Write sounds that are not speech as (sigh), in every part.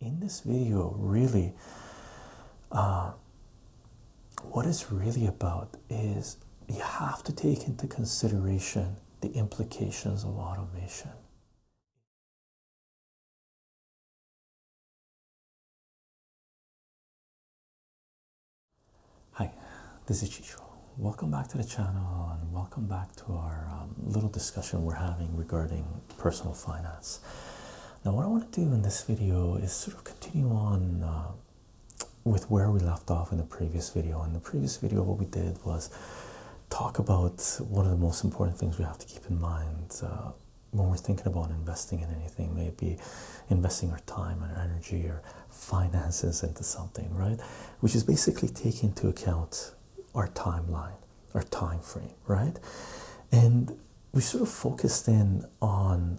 in this video really uh, what it's really about is you have to take into consideration the implications of automation hi this is chicho welcome back to the channel and welcome back to our um, little discussion we're having regarding personal finance. Now, what I want to do in this video is sort of continue on uh, with where we left off in the previous video. In the previous video, what we did was talk about one of the most important things we have to keep in mind uh, when we're thinking about investing in anything, maybe investing our time and energy or finances into something, right? Which is basically taking into account our timeline. Our time frame, right? And we sort of focused in on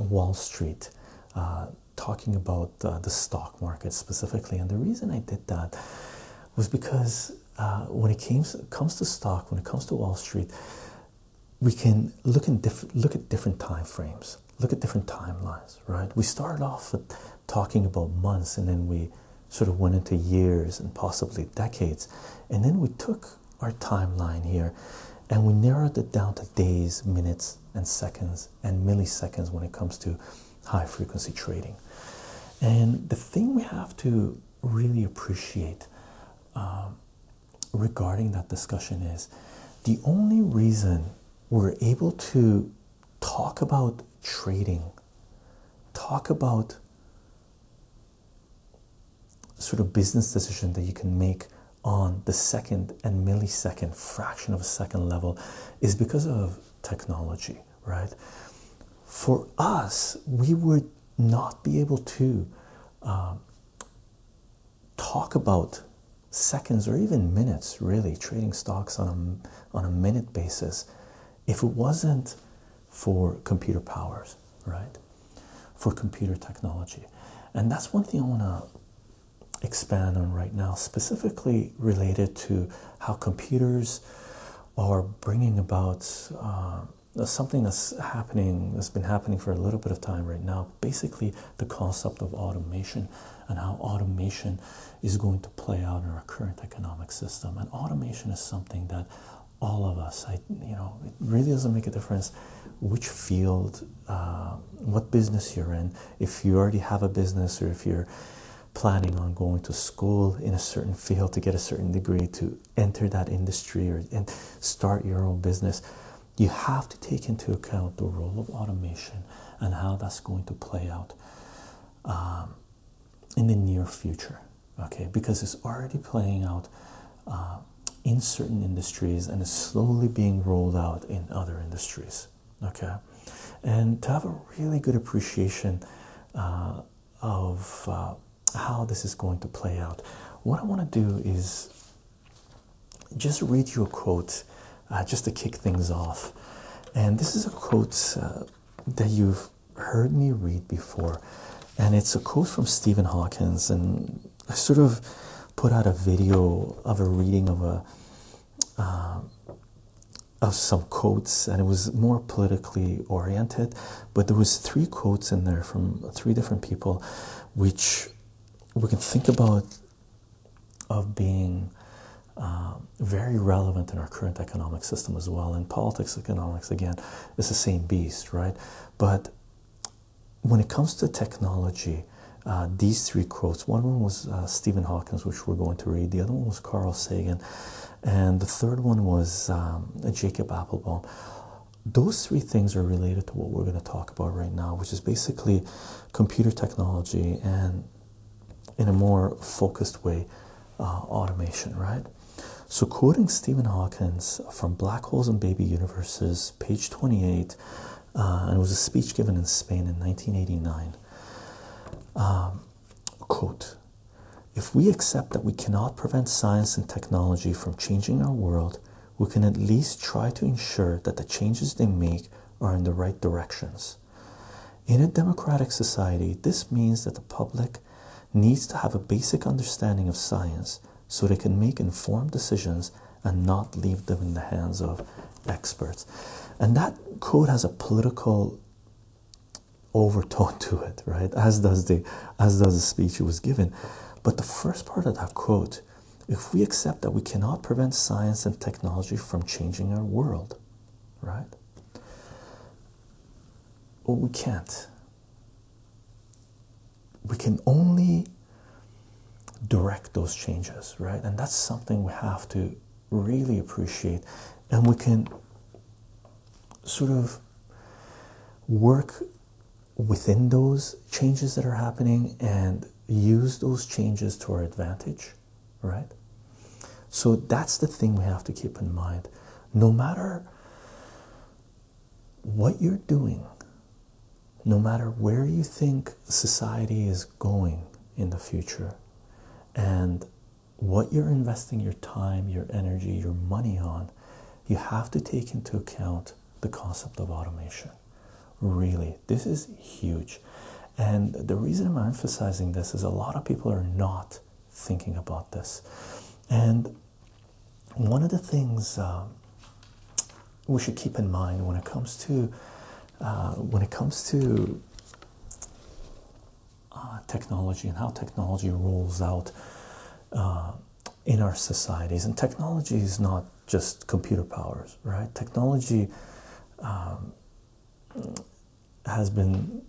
Wall Street, uh, talking about uh, the stock market specifically. And the reason I did that was because uh, when it came, comes to stock, when it comes to Wall Street, we can look in different look at different time frames, look at different timelines, right? We started off talking about months, and then we sort of went into years and possibly decades. And then we took our timeline here and we narrowed it down to days, minutes, and seconds and milliseconds when it comes to high frequency trading. And the thing we have to really appreciate um, regarding that discussion is the only reason we're able to talk about trading, talk about sort of business decision that you can make on the second and millisecond fraction of a second level is because of technology, right? For us, we would not be able to um, talk about seconds or even minutes, really, trading stocks on a, on a minute basis if it wasn't for computer powers, right? For computer technology. And that's one thing I want to expand on right now, specifically related to how computers are bringing about uh, something that's happening, that's been happening for a little bit of time right now. Basically, the concept of automation and how automation is going to play out in our current economic system. And automation is something that all of us. you know, it really doesn't make a difference which field, uh, what business you're in. If you already have a business, or if you're planning on going to school in a certain field to get a certain degree to enter that industry or and start your own business, you have to take into account the role of automation and how that's going to play out. Um, in the near future, okay, because it's already playing out uh, in certain industries and is slowly being rolled out in other industries, okay. And to have a really good appreciation uh, of uh, how this is going to play out, what I want to do is just read you a quote just to kick things off. And this is a quote that you've heard me read before, and it's a quote from Stephen Hawkins. And I sort of put out a video of a reading of a uh, of some quotes, and it was more politically oriented. But there was three quotes in there from three different people, which we can think about of being. Uh, very relevant in our current economic system as well, and politics, economics again it's the same beast, right? But when it comes to technology, uh, these three quotes one one was uh, Stephen Hawking, which we're going to read, the other one was Carl Sagan, and the third one was um, Jacob Applebaum. Those three things are related to what we're going to talk about right now, which is basically computer technology and in a more focused way, uh, automation, right? So, quoting Stephen Hawking from Black Holes and Baby Universes, page 28, uh, and it was a speech given in Spain in 1989. Um, quote If we accept that we cannot prevent science and technology from changing our world, we can at least try to ensure that the changes they make are in the right directions. In a democratic society, this means that the public needs to have a basic understanding of science so they can make informed decisions and not leave them in the hands of experts. And that quote has a political overtone (laughs) to it, right? As does the as does the speech he was given. But the first part of that quote, if we accept that we cannot prevent science and technology from changing our world, right? Well, we can't we can only direct those changes, right? And that's something we have to really appreciate, and we can sort of work within those changes that are happening and use those changes to our advantage, right? So that's the thing we have to keep in mind. No matter what you're doing, no matter where you think society is going in the future, and what you're investing your time, your energy, your money on, you have to take into account the concept of automation. Really, this is huge. And the reason I'm emphasizing this is a lot of people are not thinking about this. And one of the things um, we should keep in mind when it comes to uh, when it comes to uh, technology and how technology rolls out uh, in our societies, and technology is not just computer powers, right? Technology um, has been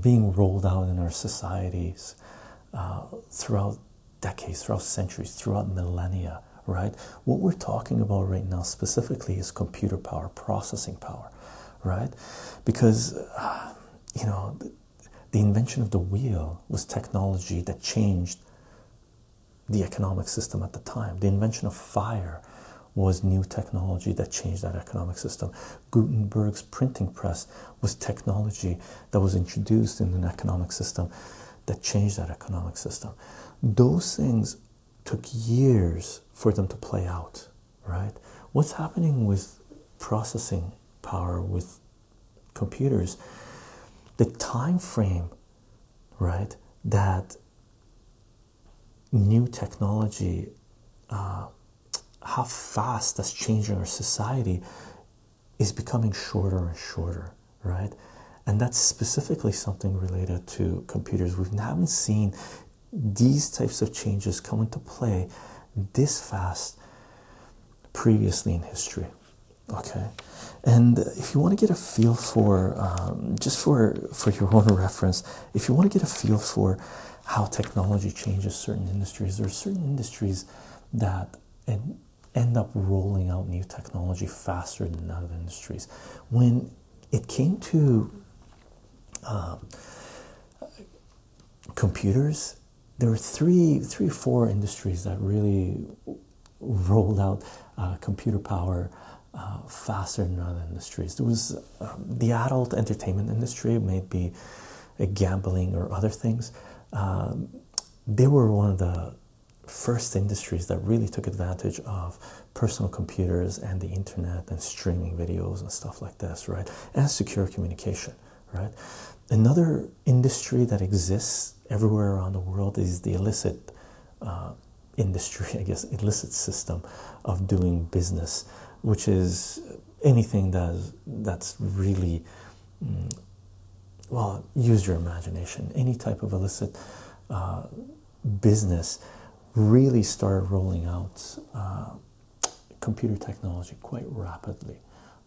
being rolled out in our societies uh, throughout decades, throughout centuries, throughout millennia, right? What we're talking about right now specifically is computer power, processing power, right? Because, uh, you know, the invention of the wheel was technology that changed the economic system at the time. The invention of fire was new technology that changed that economic system. Gutenberg's printing press was technology that was introduced in an economic system that changed that economic system. Those things took years for them to play out, right? What's happening with processing power with computers? The time frame, right, that new technology uh, how fast that's changing our society is becoming shorter and shorter, right? And that's specifically something related to computers. We haven't seen these types of changes come into play this fast previously in history. Okay, and if you want to get a feel for um, just for for your own reference, if you want to get a feel for how technology changes certain industries. There are certain industries that end up rolling out new technology faster than other industries. When it came to um, computers, there were three, three, four industries that really rolled out uh, computer power uh, faster than other industries. It was um, the adult entertainment industry, maybe uh, gambling or other things, um, they were one of the first industries that really took advantage of personal computers and the internet and streaming videos and stuff like this, right? And secure communication, right? Another industry that exists everywhere around the world is the illicit uh, industry, (laughs) I guess, illicit system of doing business, which is anything that's that's really mm, well use your imagination any type of illicit uh, business really started rolling out uh, computer technology quite rapidly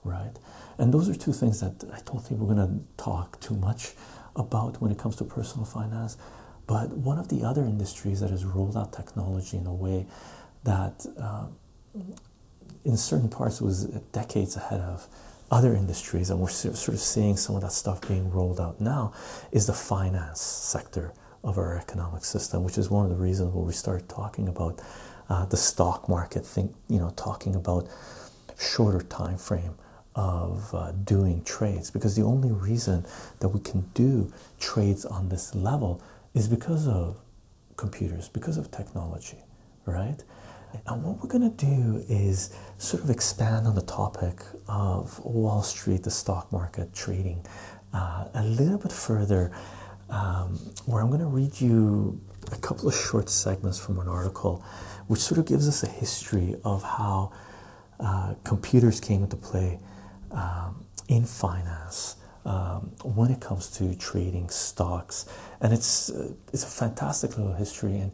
right and those are two things that i don't think we're going to talk too much about when it comes to personal finance but one of the other industries that has rolled out technology in a way that uh, in certain parts was decades ahead of other industries and we're sort of seeing some of that stuff being rolled out now is the finance sector of our economic system which is one of the reasons where we start talking about uh, the stock market thing you know talking about shorter time frame of uh, doing trades because the only reason that we can do trades on this level is because of computers, because of technology, right? And what we're going to do is sort of expand on the topic of Wall Street, the stock market, trading uh, a little bit further, um, where I'm going to read you a couple of short segments from an article which sort of gives us a history of how uh, computers came into play um, in finance um, when it comes to trading stocks, and it's uh, it's a fantastic little history. And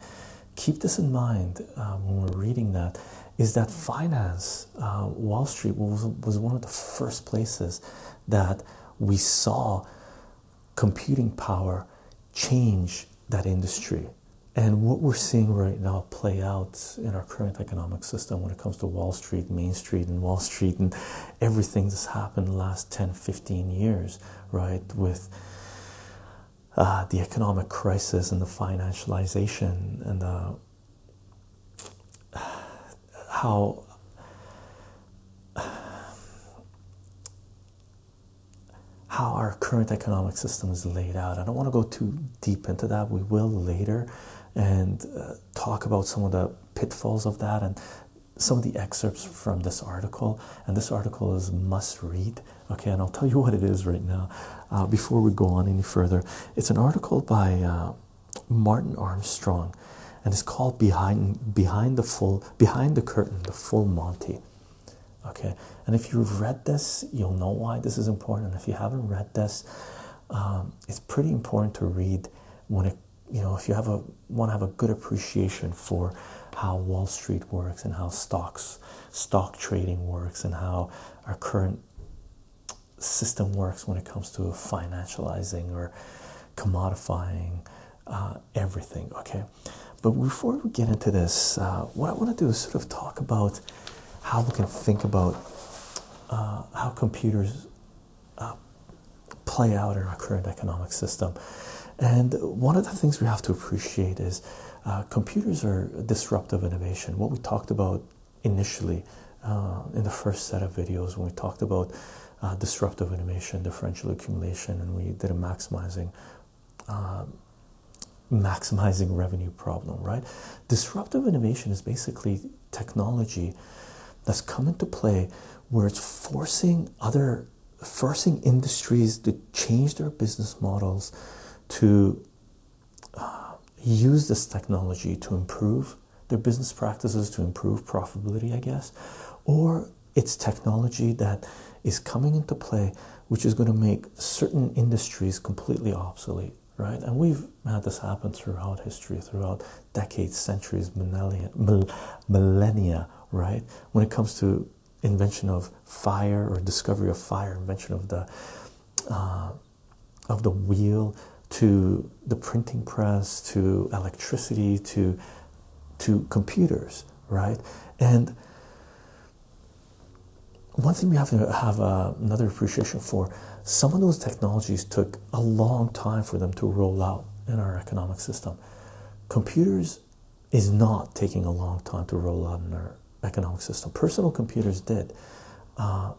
keep this in mind um, when we're reading that is that finance, uh, Wall Street was was one of the first places that we saw computing power change that industry. And what we're seeing right now play out in our current economic system when it comes to Wall Street, Main Street, and Wall Street, and everything that's happened in the last 10 15 years right with uh, the economic crisis and the financialization and uh, how how our current economic system is laid out. I don't want to go too deep into that. We will later, and uh, talk about some of the pitfalls of that and some of the excerpts from this article. And this article is must read. Okay, and I'll tell you what it is right now. Uh, before we go on any further, it's an article by uh, Martin Armstrong, and it's called "Behind Behind the Full Behind the Curtain: The Full Monty." Okay, and if you've read this, you'll know why this is important. if you haven't read this, um, it's pretty important to read when it you know, if you have a want to have a good appreciation for how Wall Street works and how stocks, stock trading works, and how our current system works when it comes to financializing or commodifying uh, everything. Okay, but before we get into this, uh, what I want to do is sort of talk about how we can think about uh, how computers uh, play out in our current economic system. And one of the things we have to appreciate is uh, computers are disruptive innovation. What we talked about initially uh, in the first set of videos when we talked about disruptive innovation, differential accumulation, and we did a maximizing. maximizing revenue problem right disruptive innovation is basically technology that's come into play where it's forcing other forcing industries to change their business models to uh, use this technology to improve their business practices to improve profitability i guess or it's technology that is coming into play which is going to make certain industries completely obsolete right and we've uh, this happened throughout history, throughout decades, centuries, millennia, right? When it comes to invention of fire or discovery of fire, invention of the uh, of the wheel, to the printing press, to electricity, to to computers, right? And one thing we have to have uh, another appreciation for: some of those technologies took a long time for them to roll out in our economic system. Computers is not taking a long time to roll out in our economic system. Personal computers did. Uh,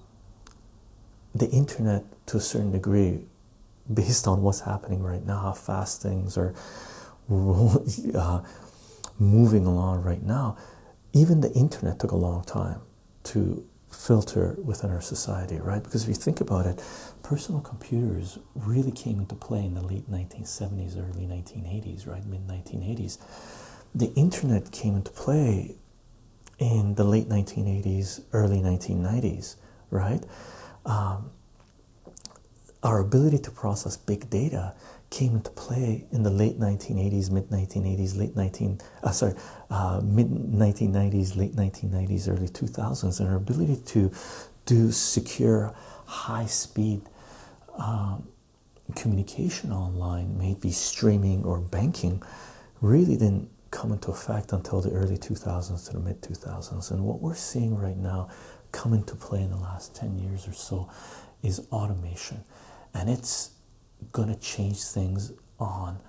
the internet, to a certain degree, (laughs) based on what's happening right now, how fast things are (laughs) uh, moving along right now, even the internet took a long time to filter within our society, right? Because if you think about it, personal computers really came into play in the late 1970s, early 1980s, right? Mid 1980s. The internet came into play in the late 1980s, early 1990s, right? Um, our ability to process big data came into play in the late 1980s, mid 1980s, late 19 uh, sorry, uh, mid 1990s, late 1990s, early 2000s, and our ability to do secure, high speed um, communication online, maybe streaming or banking, really didn't come into effect until the early 2000s to the mid 2000s. And what we're seeing right now come into play in the last 10 years or so is automation, and it's going to change things on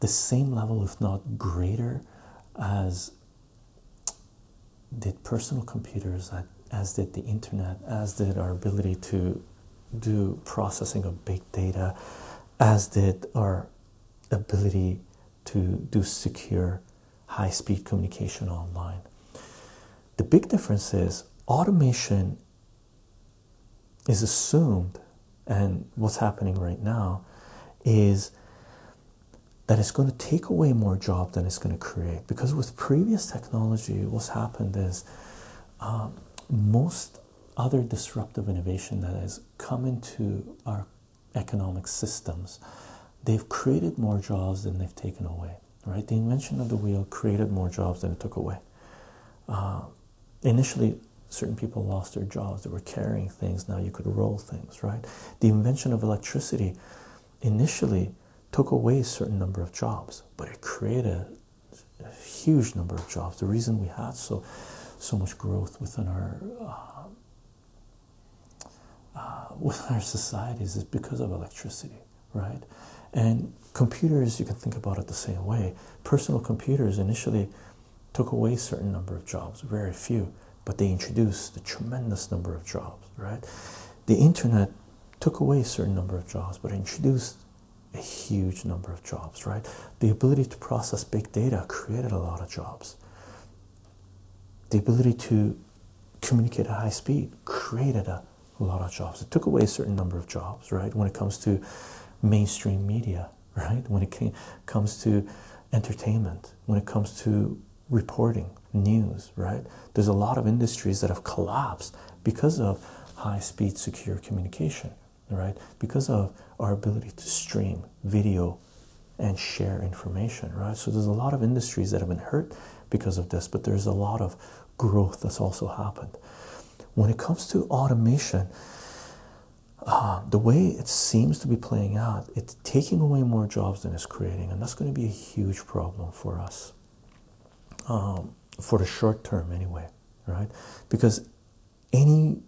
the same level, if not greater, as did personal computers, as did the internet, as did our ability to do processing of big data, as did our ability to do secure high speed communication online. The big difference is automation is assumed, and what's happening right now is that it's going to take away more jobs than it's going to create. Because with previous technology, what's happened is um, most other disruptive innovation that has come into our economic systems, they've created more jobs than they've taken away. Right? The invention of the wheel created more jobs than it took away. Uh, initially certain people lost their jobs they were carrying things now you could roll things right the invention of electricity initially took away a certain number of jobs but it created a huge number of jobs the reason we had so so much growth within our uh, uh (laughs) our societies is because of electricity, right? And computers, you can think about it the same way. Personal computers initially took away a certain number of jobs, very few, but they introduced a tremendous number of jobs, right? The internet took away a certain number of jobs, but introduced a huge number of jobs, right? The ability to process big data created a lot of jobs. The ability to communicate at high speed created a lot of jobs. It took away a certain number of jobs, right? When it comes to mainstream media, right? When it comes to entertainment, when it comes to reporting, news, right? There's a lot of industries that have collapsed because of high speed secure communication, right? Because of our ability to stream video and share information, right? So there's a lot of industries that have been hurt because of this, but there's a lot of growth that's also happened. When it comes to automation, um, the way it seems to be playing out, it's taking away more jobs than it's creating, and that's going to be a huge problem for us um, for the short term, anyway, right? Because any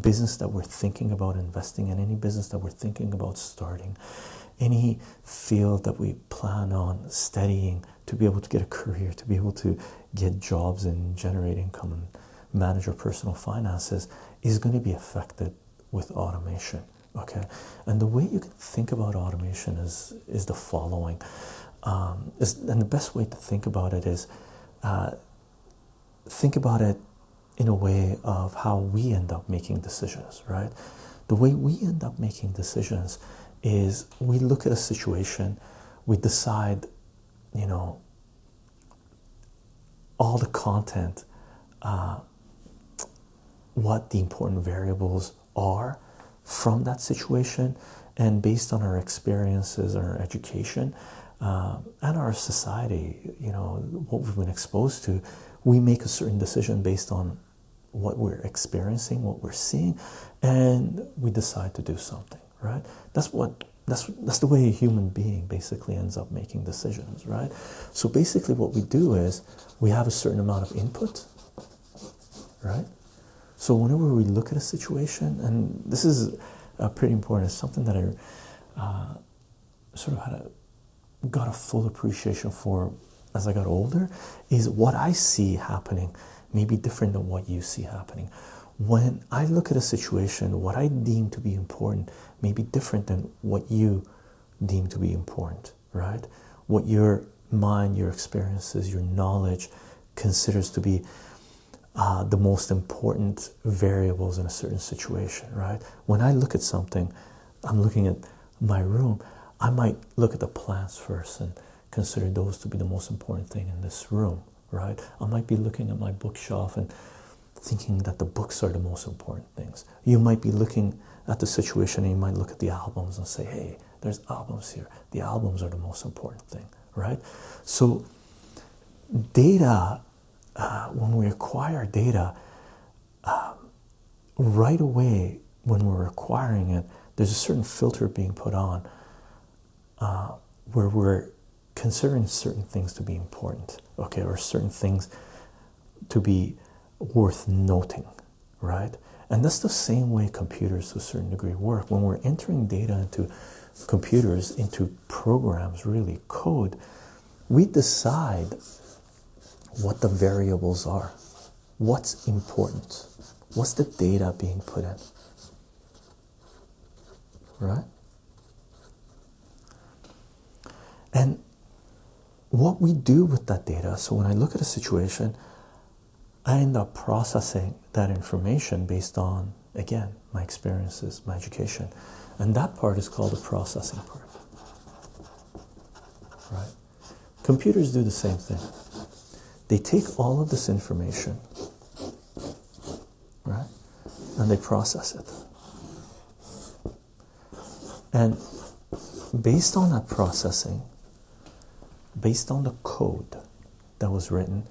business that we're thinking about investing in, any business that we're thinking about starting, any field that we plan on studying to be able to get a career, to be able to get jobs and generate income and manage your personal finances is going to be affected with automation okay and the way you can think about automation is is the following um, and the best way to think about it is uh, think about it in a way of how we end up making decisions right the way we end up making decisions is we look at a situation we decide you know all the content uh, what the important variables are from that situation and based on our experiences our education uh, and our society you know what we've been exposed to we make a certain decision based on what we're experiencing what we're seeing and we decide to do something right? That's what that's that's the way a human being basically ends up making decisions, right? So basically what we do is we have a certain amount of input, right? So whenever we look at a situation, and this is uh, pretty important, it's something that I uh, sort of had a got a full appreciation for as I got older, is what I see happening may be different than what you see happening when I look at a situation, what I deem to be important may be different than what you deem to be important, right? What your mind, your experiences, your knowledge considers to be uh, the most important variables in a certain situation, right? When I look at something, I'm looking at my room, I might look at the plants first and consider those to be the most important thing in this room, right? I might be looking at my bookshelf and thinking that the books are the most important things. You might be looking at the situation and you might look at the albums and say, hey, there's albums here. The albums are the most important thing, right? So, data, uh, when we acquire data, um, right away when we're acquiring it, there's a certain filter being put on uh, where we're considering certain things to be important, okay, or certain things to be worth noting, right? And that's the same way computers to a certain degree work. When we're entering data into computers, into programs, really code, we decide what the variables are, what's important, what's the data being put in, right? And what we do with that data, so when I look at a situation, I end up processing that information based on, again, my experiences, my education. And that part is called the processing part. Right? Computers do the same thing. They take all of this information right? And they process it. And based on that processing, based on the code that was written,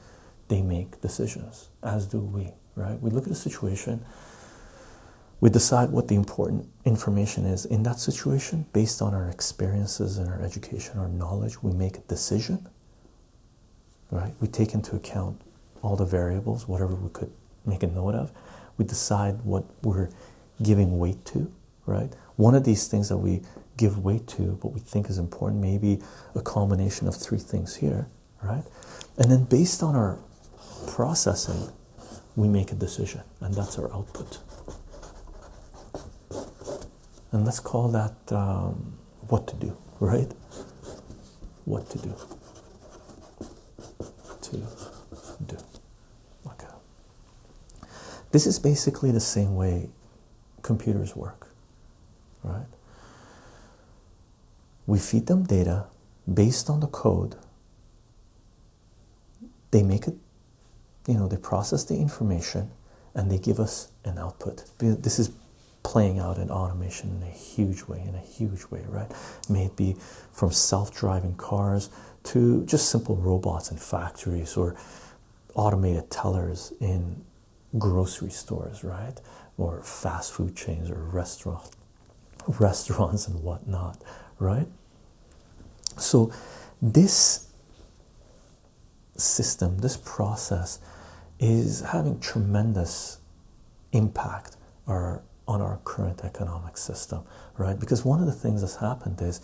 they make decisions, as do we, right? We look at a situation, we decide what the important information is in that situation based on our experiences and our education, our knowledge. We make a decision right? We take into account all the variables, whatever we could make a note of. We decide what we're giving weight to, right? One of these things that we give weight to, what we think is important, maybe a combination of three things here, right? And then based on our processing, we make a decision, and that's our output and let's call that um, what to do, right? What to do. To do. Okay. This is basically the same way computers work, right? We feed them data based on the code. They make it, you know, they process the information and they give us an output. This is playing out in automation in a huge way, in a huge way, right? Maybe from self-driving cars to just simple robots in factories or automated tellers in grocery stores, right? Or fast food chains or restaurant restaurants and whatnot, right? So this system, this process is having tremendous impact on our current economic system, right? Because one of the things that's happened is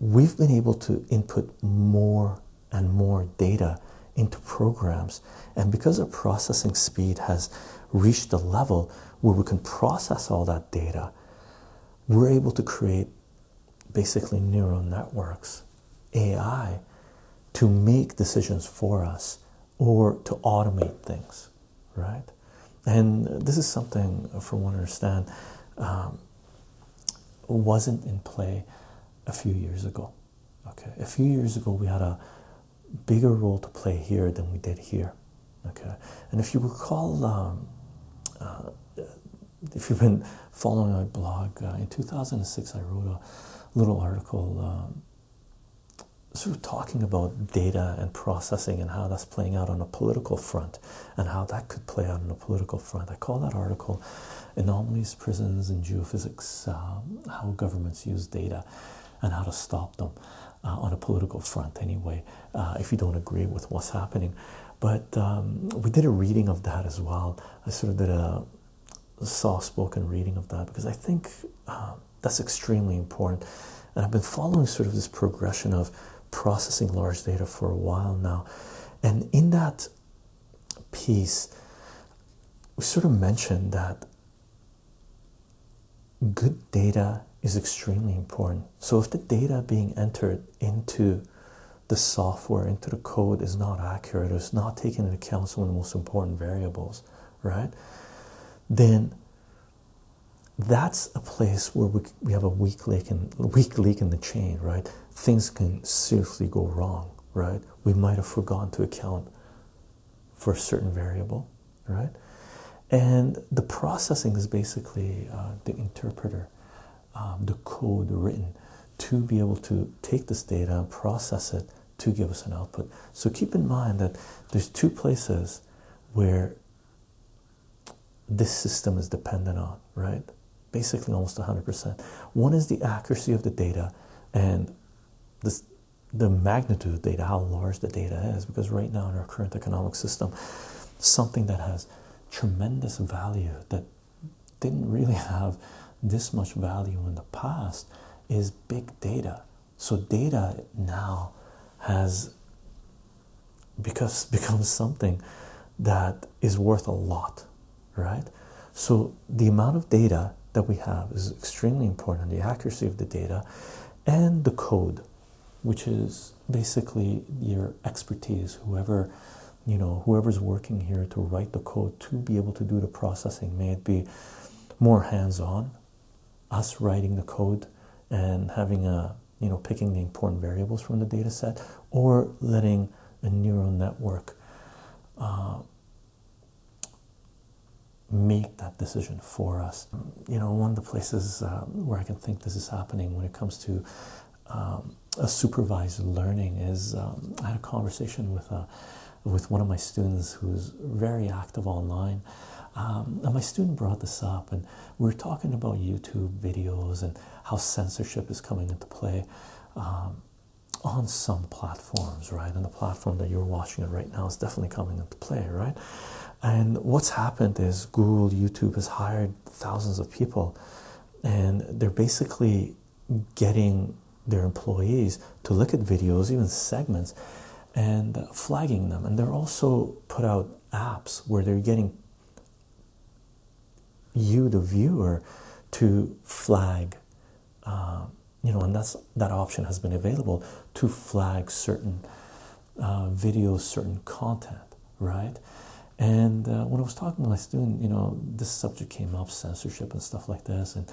we've been able to input more and more data into programs, and because our processing speed has reached the level where we can process all that data, we're able to create basically neural networks AI to make decisions for us or to automate things, right? And this is something, for one to understand, um, wasn't in play a few years ago. Okay, a few years ago we had a bigger role to play here than we did here. Okay, and if you recall, um, uh, if you've been following my blog, uh, in 2006 I wrote a little article um, sort of talking about data and processing and how that's playing out on a political front and how that could play out on a political front. I call that article Anomalies, Prisons, and Geophysics um, How Governments Use Data and How to Stop Them uh, on a Political Front, anyway, uh, if you don't agree with what's happening. But um, we did a reading of that as well. I sort of did a soft spoken reading of that because I think um, that's extremely important. And I've been following sort of this progression of processing large data for a while now. And in that piece, we sort of mentioned that good data is extremely important. So if the data being entered into the software into the code is not accurate, it's not taking into account some of the most important variables, right? Then that's a place where we, we have a weak link in weak link in the chain, right? Things can seriously go wrong, right? We might have forgotten to account for a certain variable, right? And the processing is basically uh, the interpreter, um, the code written to be able to take this data and process it to give us an output. So keep in mind that there's two places where this system is dependent on, right? Basically, almost 100%. One is the accuracy of the data and this, the magnitude of data, how large the data is, because right now in our current economic system, something that has tremendous value that didn't really have this much value in the past is big data. So data now has because (laughs) becomes something that is worth a lot, right? So the amount of data that we have is extremely important, the accuracy of the data and the code, which is basically your expertise, whoever you know whoever's working here to write the code to be able to do the processing may it be more hands-on us writing the code and having a you know picking the important variables from the data set or letting a neural network uh, make that decision for us you know one of the places uh, where i can think this is happening when it comes to um, a supervised learning is um, i had a conversation with a with one of my students who's very active online. Um, and my student brought this up, and we we're talking about YouTube videos and how censorship is coming into play um, on some platforms, right? And the platform that you're watching it right now is definitely coming into play, right? And what's happened is Google, YouTube has hired thousands of people, and they're basically getting their employees to look at videos, even segments, and flagging them. And they're also put out apps where they're getting you, the viewer, to flag. Um, you know, and that's that option has been available to flag certain uh, videos, certain content, right? And uh, when I was talking to my student, you know, this subject came up, censorship and stuff like this, and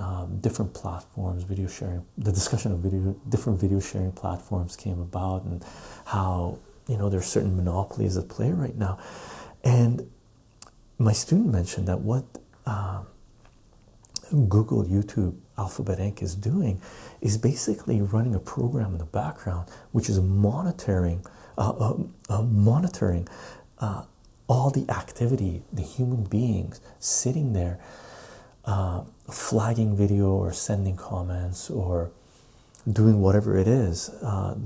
um, different platforms, video sharing, the discussion of video, different video sharing platforms came about, and how you know there's certain monopolies at play right now, and my student mentioned that what um, Google, YouTube, Alphabet Inc. is doing is basically running a program in the background, which is monitoring, uh, uh, uh, monitoring uh, all the activity, the human beings sitting there, uh, flagging video or sending comments or doing whatever it is, uh,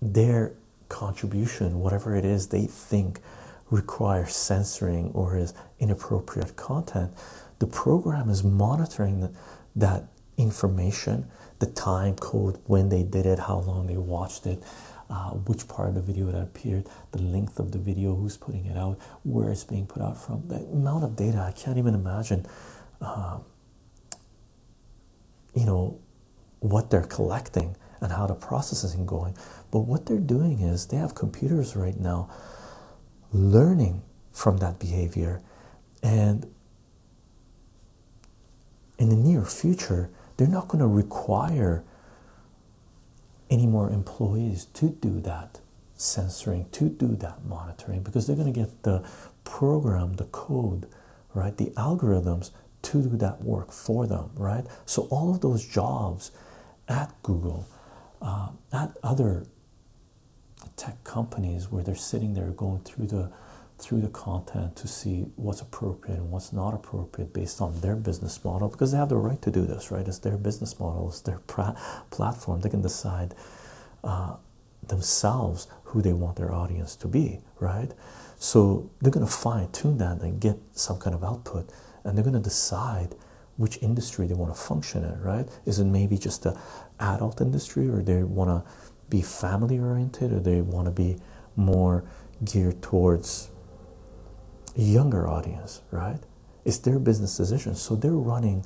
their contribution, whatever it is they think requires censoring or is inappropriate content, the program is monitoring that information the time code when they did it, how long they watched it, uh, which part of the video that appeared, the length of the video, who's putting it out, where it's being put out from. The amount of data I can't even imagine. Um, you know what they're collecting and how the process is going, but what they're doing is they have computers right now learning from that behavior and in the near future, they're not going to require any more employees to do that censoring, to do that monitoring, because they're going to get the program, the code, right, the algorithms to do that work for them, right? So all of those jobs at Google, uh, at other tech companies where they're sitting there going through the through the content to see what's appropriate and what's not appropriate based on their business model because they have the right to do this, right? It's their business model, it's their platform. They can decide uh, themselves who they want their audience to be, right? So they're going to find, tune that and get some kind of output, and they're going to decide which industry they want to function in, right? Is it maybe just the adult industry, or they want to be family oriented or they want to be more geared towards younger audience right it's their business decision so they're running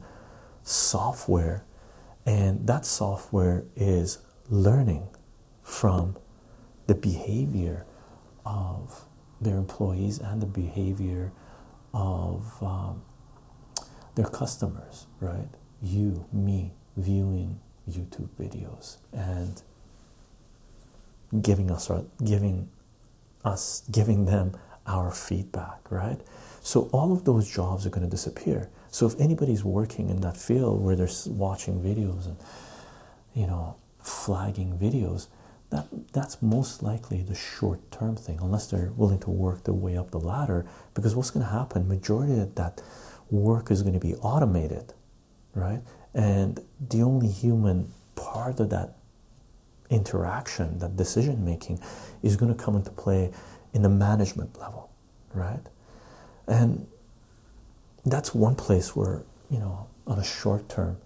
software and that software is learning from the behavior of their employees and the behavior of um, their customers right you me viewing youtube videos and giving us giving us giving them our feedback, right? So all of those jobs are going to disappear. So if anybody's working in that field where they're watching videos and you know flagging videos, that that's most likely the short-term thing, unless they're willing to work their way up the ladder. Because what's going to happen? Majority of that work is going to be automated, right? And the only human part of that interaction, that decision making, is going to come into play in the management level, right? And that's one place where, you know, on a short term,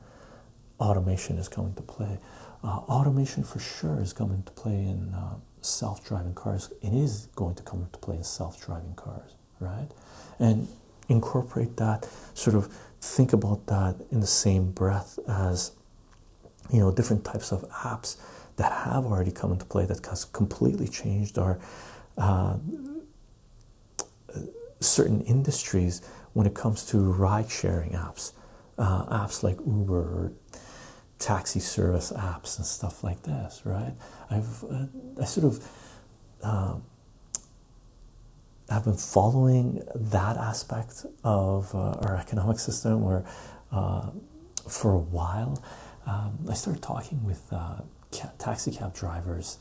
automation is coming to play. Uh, automation for sure is coming to play in uh, self driving cars. It is going to come into play in self driving cars right? And incorporate that sort of think about that in the same breath as you know different types of apps that have already come into play that has completely changed our uh, certain industries when it comes to ride sharing apps, uh, apps like Uber or taxi service apps and stuff like this, right? I've uh, I sort of um, i have been following that aspect of uh, our economic system or uh, for a while. Um, I started talking with uh, taxi cab drivers,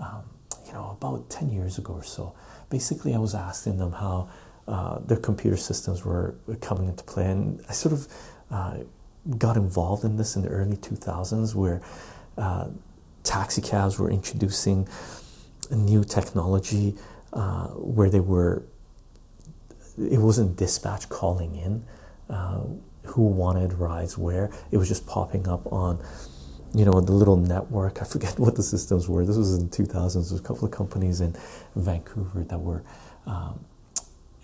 um, you know, about 10 years ago or so. Basically, I was asking them how their computer systems were coming into play, and I sort of got involved in this in the early 2000s where uh, taxi cabs were introducing a new technology uh, where they were it wasn't dispatch calling in uh, who wanted rides where it was just popping up on you know the little network i forget (laughs) what the systems were this was in 2000s there was a couple of companies in vancouver that were um,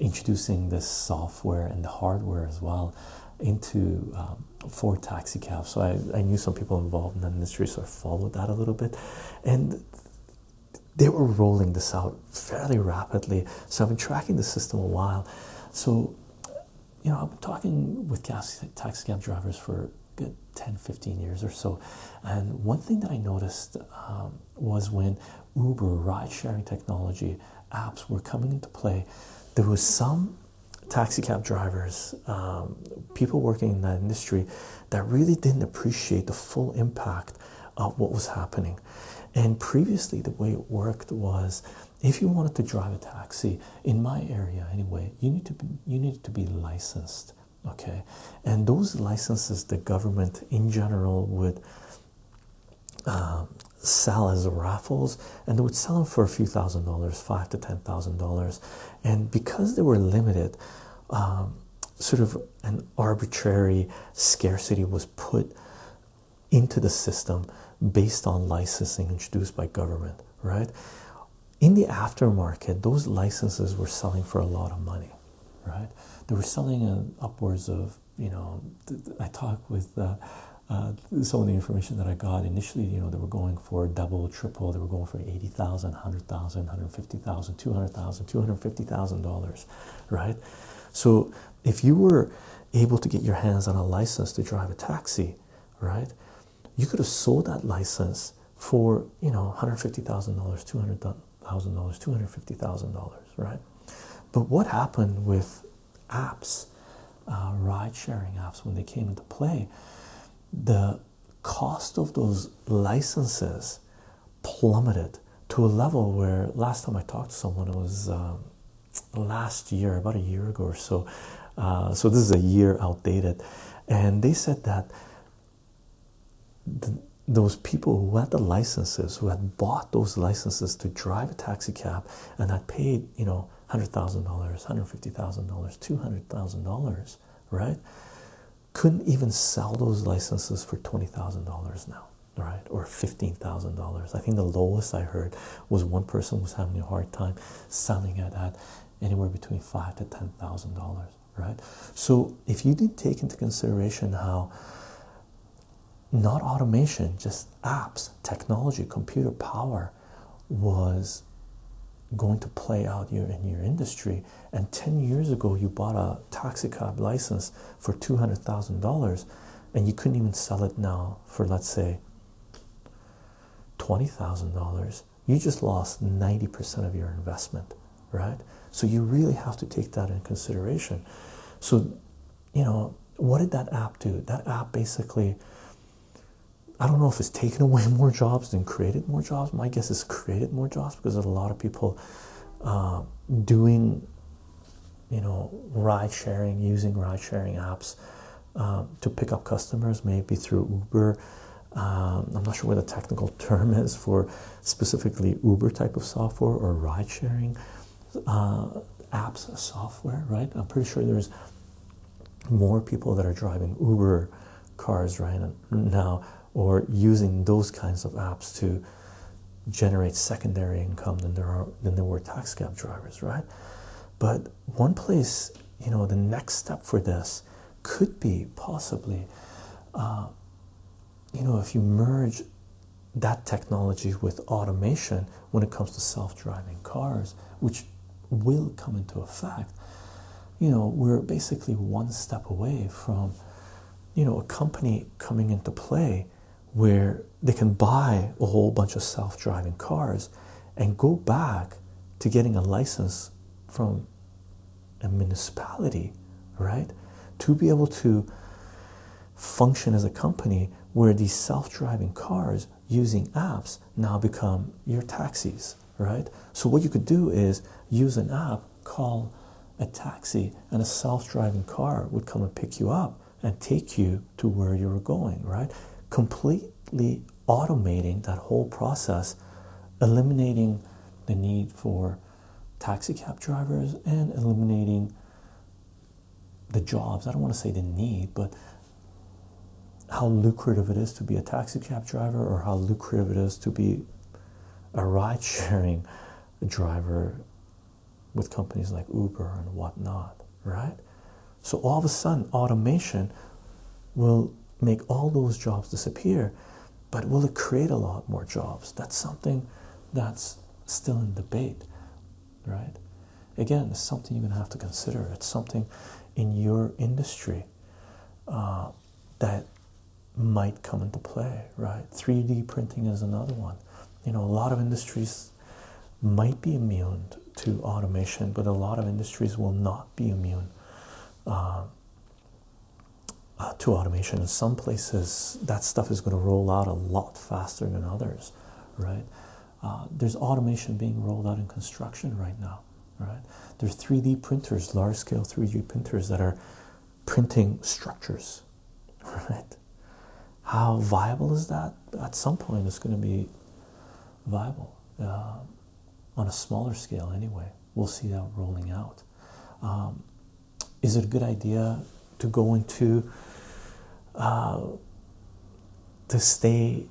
introducing this software and the hardware as well into um, for taxi cabs. So I, knew some people involved in the industry, so I followed that a little bit, and they were rolling this out fairly rapidly. So I've been tracking the system a while. So you know, I've been talking with taxi cab drivers for good 10 15 years or so, and one thing that I noticed um, was when Uber, ride sharing technology, apps were coming into play. There was some taxi cab drivers, um, people working in that industry, that really didn't appreciate the full impact of what was happening. And previously, the way it worked was if you wanted to drive a taxi in my area anyway, you need to be, you need to be licensed. Okay, and those licenses the government in general would um, sell as raffles, and they would sell them for a few thousand dollars, five to ten thousand dollars, and because they were limited, um, sort of an arbitrary scarcity was put into the system based on licensing introduced by government. Right in the aftermarket, those licenses were selling for a lot of money. Right, they were selling uh, upwards of you know. I talked with. Uh, uh, some of the information that I got initially, you know, they were going for double, triple, they were going for 80,000, 100,000, 250,000 dollars, right? So if you were able to get your hands on a license to drive a taxi, right, you could have sold that license for, you know, $150,000, $200,000, $250,000, right? But what happened with apps, uh, ride sharing apps, when they came into play, the cost of those licenses plummeted to a level where last time I talked to someone, it was um, last year, about a year ago or so. Uh, so this is a year outdated. And they said that those people who had the licenses, who had bought those licenses to drive a taxi cab, and that paid you know hundred thousand dollars, hundred fifty thousand dollars, two hundred thousand dollars, right? Couldn't even sell those licenses for twenty thousand dollars now, right? Or fifteen thousand dollars. I think the lowest I heard was one person was having a hard time selling at that, anywhere between five to ten thousand dollars, right? So if you didn't take into consideration how not automation, just apps, technology, computer power was going to play out in your industry. And 10 years ago, you bought a taxi cab license for $200,000 and you couldn't even sell it now for, let's say, $20,000. You just lost 90% of your investment, right? So you really have to take that in consideration. So you know, what did that app do? That app basically, I don't know if it's taken away (laughs) more jobs than created more jobs. My guess is created more jobs because there's a lot of people uh, doing, you know, ride sharing, using ride sharing apps um, to pick up customers, maybe through Uber. Um, I'm not sure what the technical (laughs) term is for specifically Uber type of software or ride sharing. Uh, apps software, right? I'm pretty sure there's more people that are driving Uber cars right now or using those kinds of apps to generate secondary income than there are than there were tax cab drivers, right? But one place, you know, the next step for this could be possibly, uh, you know, if you merge that technology with automation when it comes to self-driving cars, which will come into effect, you know, we're basically one step away from, you know, a company coming into play where they can buy a whole bunch of self-driving cars and go back to getting a license from a municipality, right? To be able to function as a company where these self-driving cars using apps now become your taxis right so what you could do is use an app call a taxi and a self-driving car would come and pick you up and take you to where you were going right completely automating that whole process eliminating the need for taxi cab drivers and eliminating the jobs. I don't want to say the need, but how lucrative it is to be a taxi cab driver or how lucrative it is to be a ride sharing driver with companies like Uber and whatnot, right? So all of a sudden, automation will make all those jobs disappear, but will it create a lot more jobs? That's something that's still in debate right? Again, it's something you're gonna have to consider. It's something in your industry uh, that might come into play, right? 3D printing is another one. You know, a lot of industries might be immune to automation, but a lot of industries will not be immune uh, uh, to automation. In some places, that stuff is going to roll out a lot faster than others, right? Uh, there's automation being rolled out in construction right now, right? There's 3D printers, large scale 3D printers that are printing structures, (laughs) right? How viable is that? At some point, it's going to be viable uh, on a smaller scale, anyway. We'll see that rolling out. Um, is it a good idea to go into uh, to stay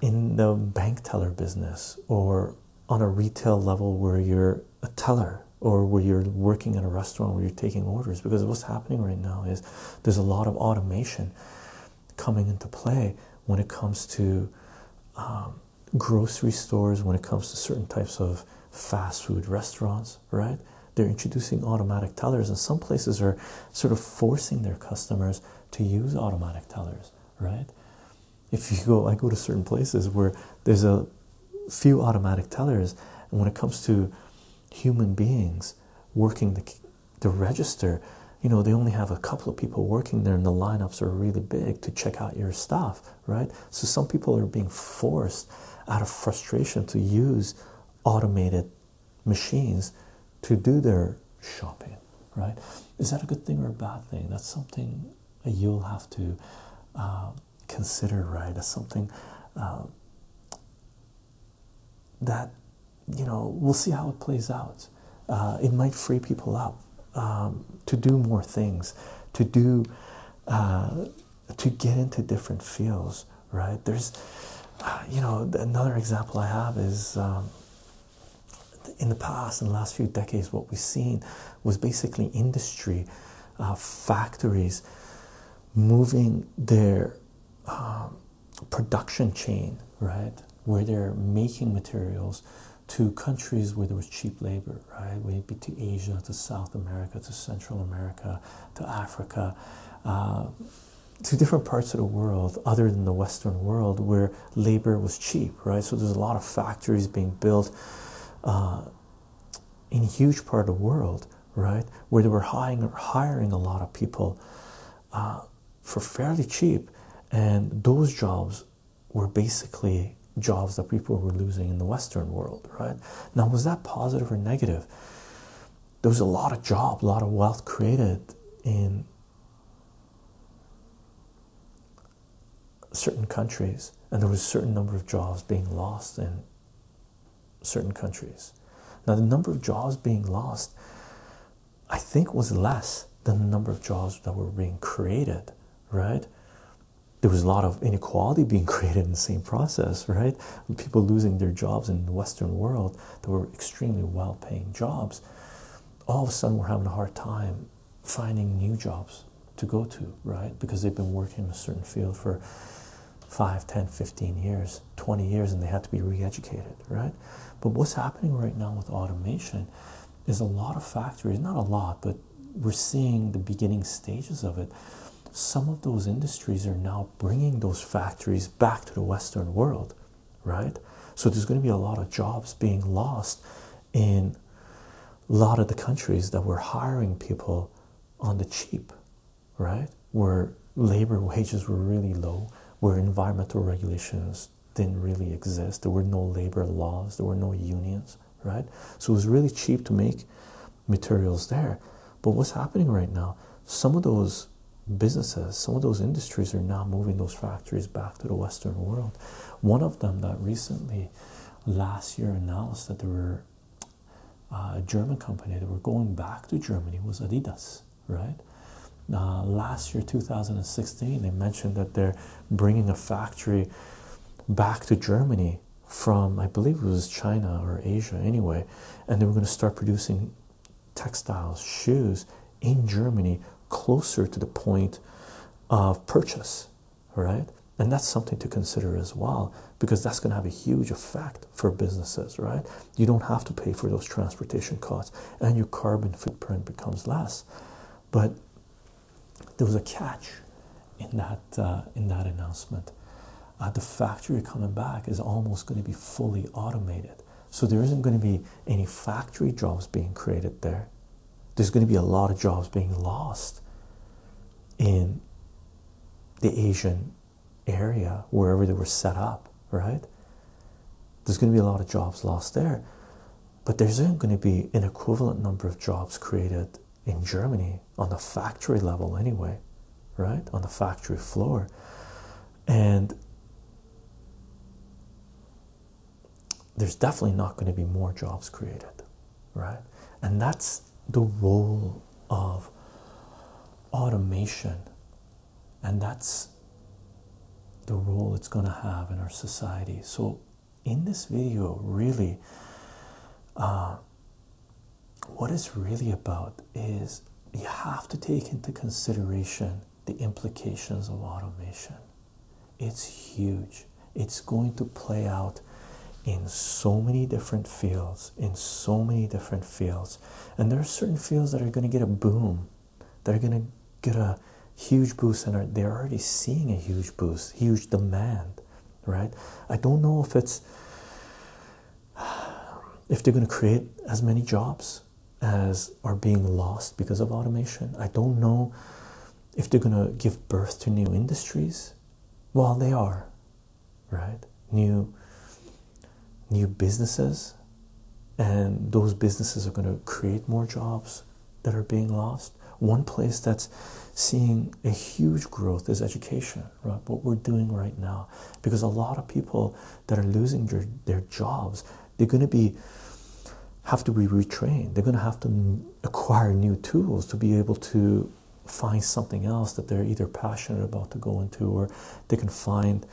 in the bank teller business or on a retail level where you're a teller or where you're working in a restaurant where you're taking orders because what's happening right now is there's a lot of automation coming into play when it comes to um, grocery stores when it comes to certain types of fast food restaurants right? They're introducing automatic tellers, and some places are sort of forcing their customers to use automatic tellers, right? If you go, I go to certain places where there's a few automatic tellers, and when it comes to human beings working the, the register, you know, they only have a couple of people working there, and the lineups are really big to check out your stuff, right? So some people are being forced out of frustration to use automated machines to do their shopping, right? Is that a good thing or a bad thing? That's something you'll have to um, consider, right? As something um, that you know we'll see how it plays out. Uh, it might free people up um, to do more things, to do, uh, to get into different fields, right? There's, uh, you know, another example I have is um, in the past, in the last few decades, what we've seen was basically industry, uh, factories moving their um, production chain, right? Where they're making materials to countries where there was cheap labor, right? Whether to Asia, to South America, to Central America, to Africa, uh, to different parts of the world other than the Western world where labor was cheap, right? So there's a lot of factories being built uh, in a huge part of the world, right? Where they were hiring, hiring a lot of people uh, for fairly cheap. And those jobs were basically jobs that people were losing in the Western world, right? Now, was that positive or negative? there was a lot of job, a lot of wealth created in certain countries, and there was a certain number of jobs being lost in certain countries. Now, the number of jobs being lost, I think, was less than the number of jobs that were being created, right? There was a lot of inequality being (laughs) created in the same process, right? People losing their jobs in the Western world that were extremely well paying jobs, all of a sudden we're having a hard time finding new jobs to go to, right? Because they've been working in a certain field for five, ten, fifteen years, 20 years, and they have to be re educated, right? But what's happening right now with automation is a lot of factories, not a lot, but we're seeing the beginning stages of it some of those industries are now bringing those factories back to the Western world, right? So there's going to be a lot of jobs being lost in a lot of the countries that were hiring people on the cheap, right? Where labor wages were really low, where environmental regulations didn't really exist, there were no labor laws, there were no unions, right? So it was really cheap to make materials there. But what's happening right now? Some of those businesses, some of those industries are now moving those factories back to the Western world. One of them that recently, last year, announced that there were uh, a German company that were going back to Germany was Adidas, right? Uh, last year, 2016, they mentioned that they're bringing a factory back to Germany from, I believe it was China or Asia anyway, and they were going to start producing textiles, shoes in Germany closer to the point of purchase, right? And that's something to consider as well because that's going to have a huge effect for businesses, right? You don't have to pay for those transportation costs and your carbon footprint becomes less. But there was a catch in that uh, in that announcement at uh, the factory coming back is almost going to be fully automated. So there isn't going to be any factory jobs being created there. There's going to be a lot of jobs being lost in the Asian area, wherever they were set up, right? There's going to be a lot of jobs lost there. But there isn't going to be an equivalent number of jobs created in Germany on the factory level anyway right on the factory floor and there's definitely not going to be more jobs created right and that's the role of automation and that's the role it's going to have in our society so in this video really uh, what it's really about is you have to take into consideration the implications of automation. It's huge. It's going to play out in so many different fields, in so many different fields. And there are certain fields that are going to get a boom. That are going to get a huge boost and they're already seeing a huge boost, huge demand, right? I don't know if it's if they're going to create as many jobs as are being lost because of automation. I don't know if they're going to give birth to new industries. Well, they are, right? New new businesses and those businesses are going to create more jobs that are being lost. One place that's seeing a huge growth is education right? What we're doing right now, because a lot of people that are losing their, their jobs, they're going to be have to be retrained. They're going to have to acquire new tools to be able to find something else that they're either passionate about to go into or they can find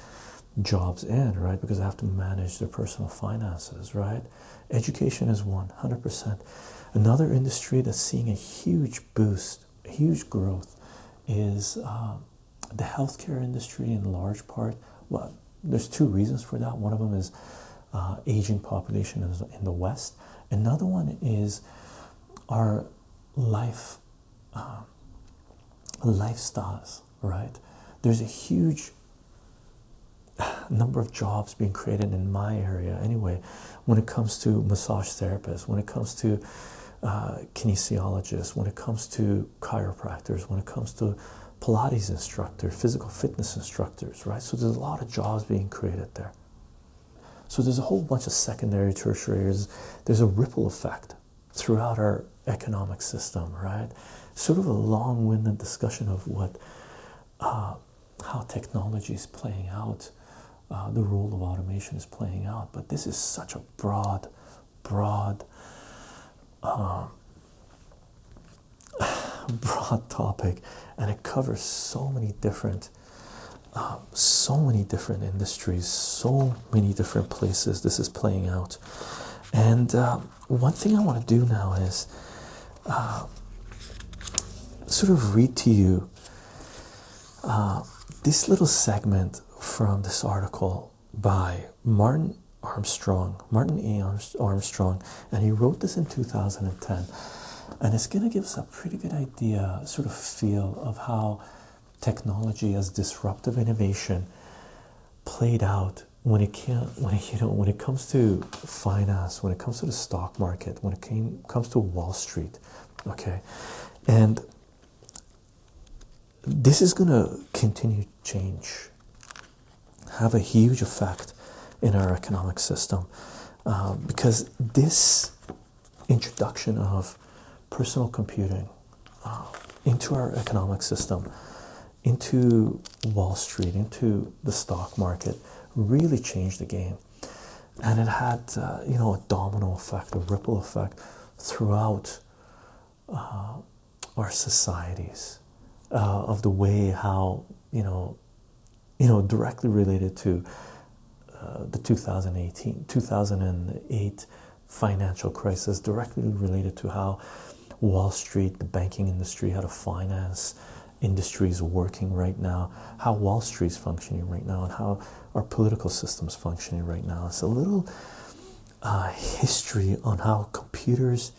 jobs in, right? Because they have to manage their personal finances, right? Education is 100%. Another industry that's seeing a huge boost, huge growth is um, the healthcare industry, in large part, well, there's two reasons for that. One of them is uh, aging population in the West. Another one is our life uh, lifestyles. Right? There's a huge (sighs) number of jobs being created in my area anyway when it comes to massage therapists when it comes to uh, kinesiologists, when it comes to chiropractors, when it comes to Pilates instructors, physical fitness instructors, right? So there's a lot of jobs being created there. So there's a whole bunch of secondary, tertiary. There's a ripple effect throughout our economic system, right? Sort of a long-winded discussion of what, uh, how technology is playing out, uh, the role of automation is playing out. But this is such a broad broad um, (sighs) broad topic and it covers so many different um, so many different industries so many different places this is playing out and um, one thing i want to do now is sort of read to you uh, this little segment from this article by Martin Armstrong, Martin E. Armstrong, and he wrote this in 2010. And it's going to give us a pretty good idea, sort of feel of how technology as disruptive innovation played out when it can when you know when it comes to finance when it comes to the stock market when it came comes to wall street okay and this is going to continue to change, have a huge effect in our economic system um, because this introduction of personal computing uh, into our economic system, into Wall Street, into the stock market, really changed the game. And it had, uh, you know, a domino effect, a ripple effect throughout uh, our societies uh, of the way how you know you know directly related to uh, the 2018 2008 financial crisis directly related to how Wall Street the banking industry how the finance industries working right now how Wall Street is functioning right now and how our political system's functioning right now. It's a little uh, history on how computers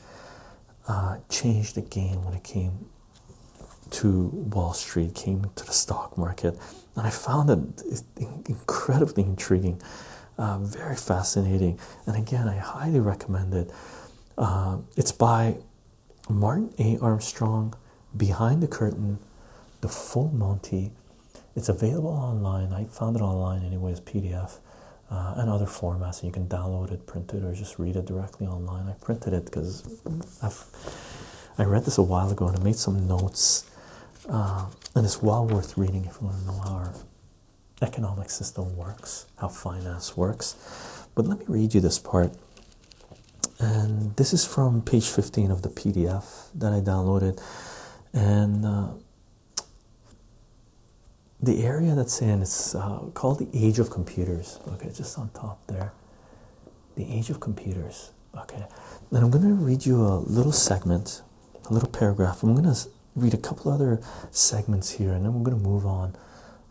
uh, changed the game when it came to Wall Street, came to the stock market, and I found it incredibly intriguing, uh, very fascinating. And again, I highly recommend it. it's by Martin A. Armstrong, Behind the Curtain, The Full Monty, it's available online. I found it online, anyways, PDF uh, and other formats. So you can download it, print it, or just read it directly online. I printed it because I've I read this a while ago and I made some notes. Uh, and it's well worth reading if you want to know how our economic system works, how finance works. But let me read you this part. And this is from page 15 of the PDF that I downloaded and uh, the area that's in it's uh, called the age of computers okay just on top there the age of computers okay then i'm going to read you a little segment a little paragraph i'm going to read a couple other segments here and then we're going to move on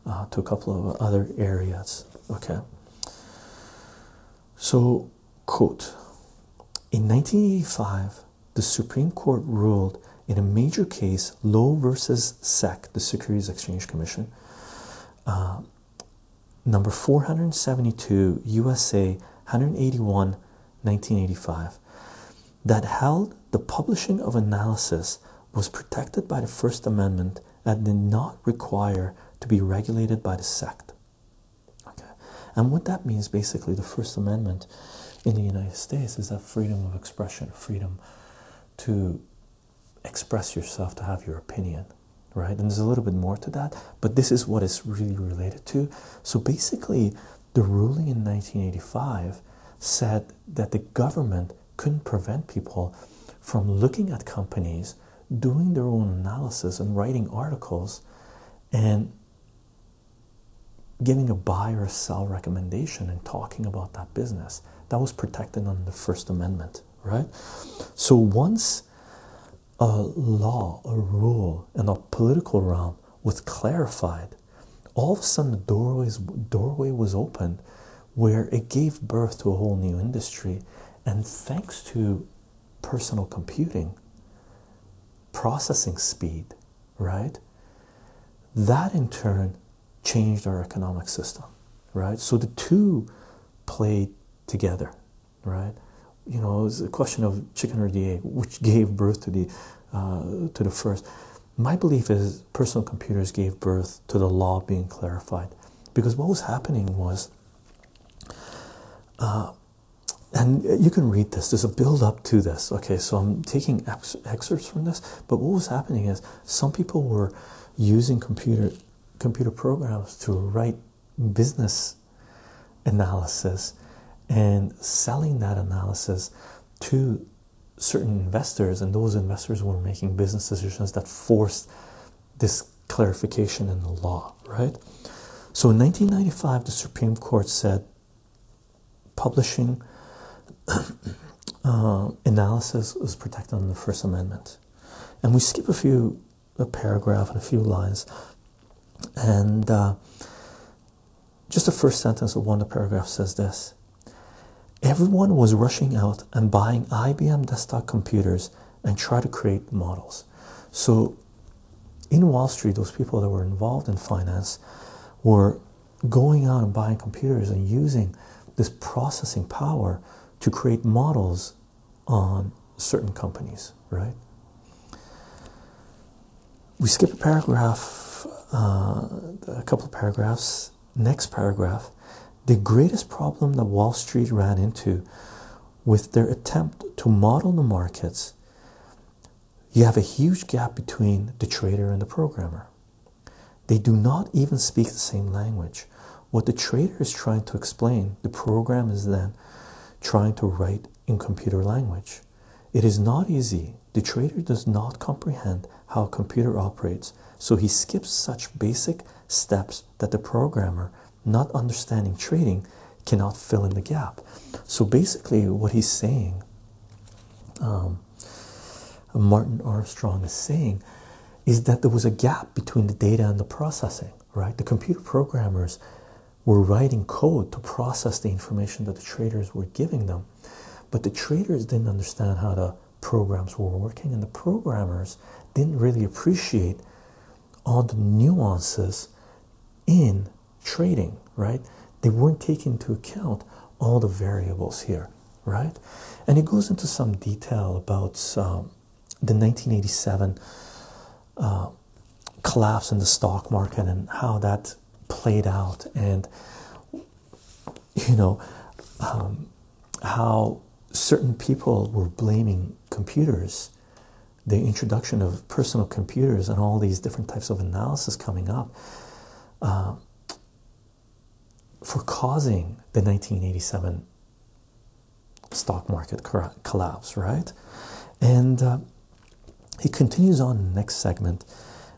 uh, to a couple of other areas okay so in 1985, the Supreme Court ruled in a major case, Lowe versus SEC, the Securities Exchange Commission, uh, number 472, USA 181, 1985, that held the publishing of analysis was protected by the First Amendment and did not require to be regulated by the SEC and what that means basically, the First Amendment in the United States is that freedom of expression, freedom to express yourself, to have your opinion, right? And there's a little bit more to that, but this is what it's really related to. So basically, the ruling in 1985 said that the government couldn't prevent people from looking at companies, doing their own analysis, and writing articles and giving a buy or a sell recommendation and talking about that business that was protected under the First Amendment, right? So once a law, a rule in a political realm was clarified, all of a sudden the doorway was opened where it gave birth to a whole new industry. And thanks to personal computing processing speed, right? That in turn changed our economic system, right? So the two played together, right? You know, it's a question of chicken or the egg, which (laughs) gave birth to the uh, to the first. My belief is personal computers gave birth to the law being clarified, because what was happening was uh, and uh, you can read this. There's a build up to this. Okay, so I'm taking excerpts from this, but what was happening is some people were using computer computer programs to write business analysis and selling that analysis to certain investors, and those investors were making business decisions that forced this clarification in the law, right? So in 1995, the Supreme Court said publishing (clears throat) uh, analysis is protected under the First Amendment, and we skip a few a paragraph and a few lines, and uh, just the first sentence of one of the paragraph says this. Everyone was rushing out and buying IBM desktop computers and try to create models. So in Wall Street, those people that were involved in finance were going out and buying computers and using this processing power to create models on certain companies, right? We skip a paragraph, uh, a couple of paragraphs. Next paragraph the greatest problem that Wall Street ran into with their attempt to model the markets you have a huge gap between the trader and the programmer. They do not even speak the same language. What the trader is trying to explain, the programmer is then trying to write in computer language. It is not easy. The trader does not comprehend how a computer operates, so he skips such basic steps that the programmer not understanding trading cannot fill in the gap. So basically, what he's saying, um, Martin Armstrong is saying, is that there was a gap between the data and the processing, right? The computer programmers were writing code to process the information that the traders were giving them, but the traders didn't understand how the programs were working, and the programmers didn't really appreciate all the nuances in trading, right? They weren't taking into account all the variables here, right? And it goes into some detail about um, the 1987 uh, collapse in the stock market and how that played out, and you know um, how certain people were blaming computers the introduction of personal computers and all these different types of analysis coming up uh, for causing the 1987 stock market collapse, right? And uh, he continues on next segment,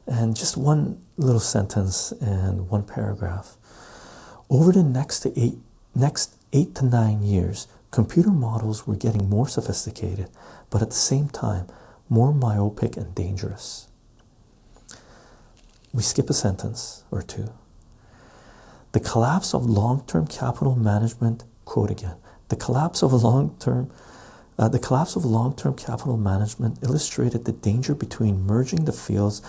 and just one little sentence and one paragraph. Over the next eight, next eight to nine years, Computer models were getting more sophisticated, but at the same time, more myopic and dangerous. We skip a sentence or two. The collapse of long term capital management, quote again, the collapse of long term. Uh, the collapse of long-term capital management illustrated the danger between merging the fields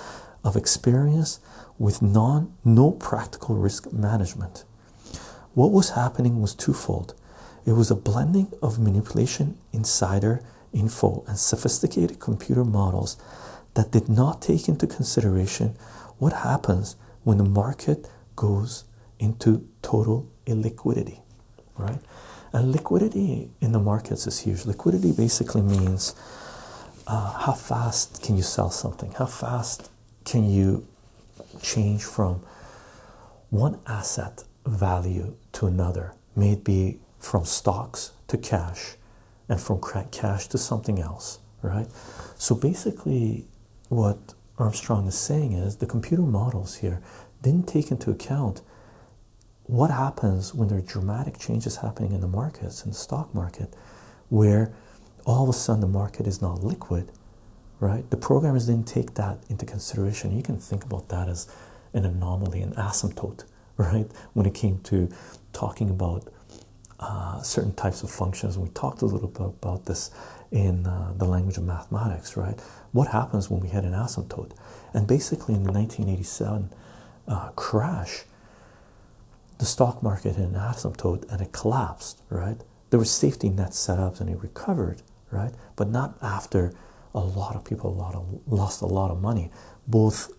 of experience with non no practical risk management what was happening was twofold. It was a blending of manipulation, insider info, and sophisticated computer models that did not take into consideration what happens when the market goes into total illiquidity, right? And liquidity in the markets is huge. Liquidity basically means uh, how fast can you sell something? How fast can you change from one asset value to another, may it be from stocks to cash and from cash to something else, right? So basically, what Armstrong is saying is the computer models here didn't take into account what happens when there are dramatic changes happening in the markets, in the stock market, where all of a sudden the market is not liquid, right? The programmers didn't take that into consideration. You can think about that as an anomaly, an asymptote, (laughs) right? When it came to talking about uh, certain types of functions, we talked a little bit about this in uh, the language of mathematics, right? What happens when we hit an asymptote? And basically, in the 1987 uh, crash, the stock market hit an asymptote and it collapsed, right? there were safety net setups and it recovered, right? But not after a lot of people lost a lot of money, both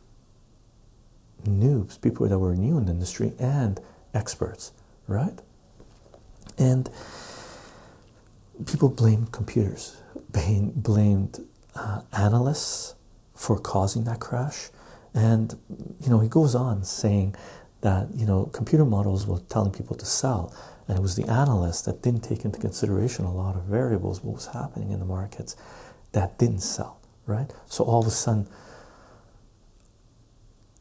noobs, people that were new in the industry, and experts, right? And people blamed computers, blamed uh, analysts for causing that crash. And you know, he goes on saying that you know computer models were telling people to sell, and it was the analysts that didn't take into consideration a lot of variables, what was happening in the markets, that didn't sell, right? So all of a sudden,